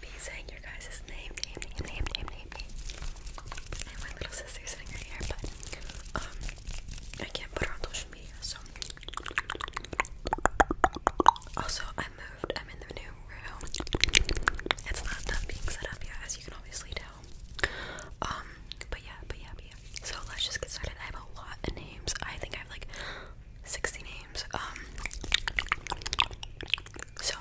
be saying your guys' name, name, name, name, name, name, name. And my little sister's sitting right here, but um, I can't put her on social media, so. Also, I moved. I'm in the new room. It's not that being set up yet, as you can obviously tell. Um, but yeah, but yeah, but yeah. So let's just get started. I have a lot of names. I think I have like 60 names. Um, so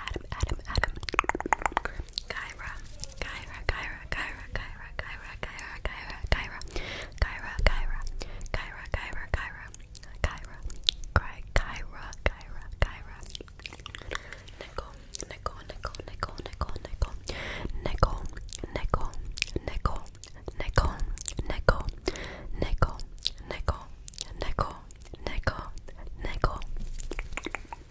Adam, Adam, Adam, Adam. Kyra, Kyra, Kyra, Kyra, Kyra, Kyra, Kyra, Kyra, Kyra, Kyra, Kyra, Kyra, Kyra, Kyra, Kyra, Kyra, Kyra, Kyra, Kyra. Nicole, Nicole, Nicole, Nicole, Nicole, Nicole, Nicole, Nicole, Nicole, Nicole, Nicole, Nicole, Nicole, Nicole, Nicole, Nicole.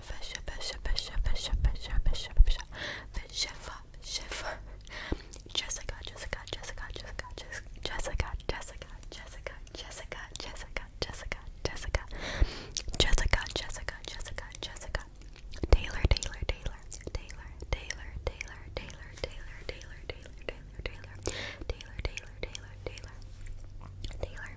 Jessica, Jessica, Jessica, Jessica, Jessica, Jessica, Jessica, Jessica, Jessica, Jessica, Jessica, Jessica, Jessica, Jessica, Jessica, Taylor, Taylor, Taylor, Taylor, Taylor, Taylor, Taylor, Taylor, Taylor, Taylor, Taylor, Taylor, Taylor, Taylor, Taylor, Taylor, Taylor,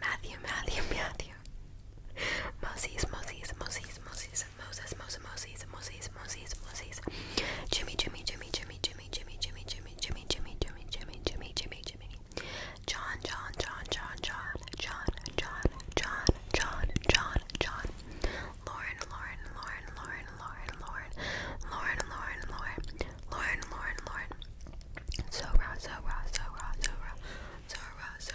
Matthew, Matthew, Matthew. Moses, Moses, Moses, Moses, Moses, Moses, Moses, Moses, Moses, Moses. Jimmy, Jimmy, Jimmy, Jimmy, Jimmy, Jimmy, Jimmy, Jimmy, Jimmy, Jimmy, Jimmy, Jimmy, Jimmy, Jimmy, Jimmy. John, John, John, John, John, John, John, John, John, John, John. Lauren, Lauren, Lauren, Lauren, Lauren, Lauren, Lauren, Lauren, Lauren, Lauren, Lauren, Lauren. So raw, so raw, so raw, so raw, so raw, so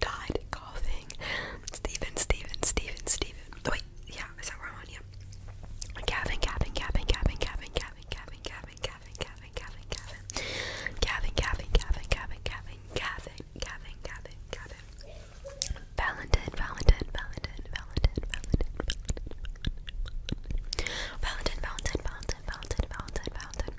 died coughing. Steven, Steven, Steven, Steven. Wait, yeah, is that where Yeah. Gavin, Gavin, Gavin, Gavin, Gavin, Gavin, Gavin, Gavin, Gavin, Gavin, Gavin, Gavin. Gavin, Gavin, Gavin, Gavin, Gavin, Gavin, Gavin, Gavin, Gavin. Valentine, Valentine, Valentine, Valentine, Valentine, Valentine, Valentine, Valentine, Valentine.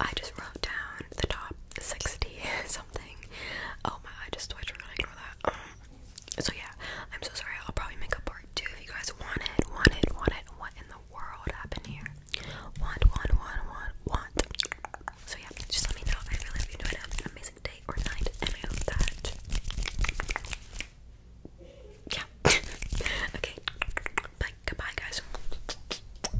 I just wrote down the top 60 something. Oh my, I just switched. We're gonna ignore that. Um, so yeah, I'm so sorry. I'll probably make a part two if you guys want it. Want it? Want it? What in the world happened here? Want? Want? Want? Want? Want? So yeah, just let me know. I really hope you enjoyed it. An amazing day or night, and I hope that yeah. okay. Bye. Goodbye, guys.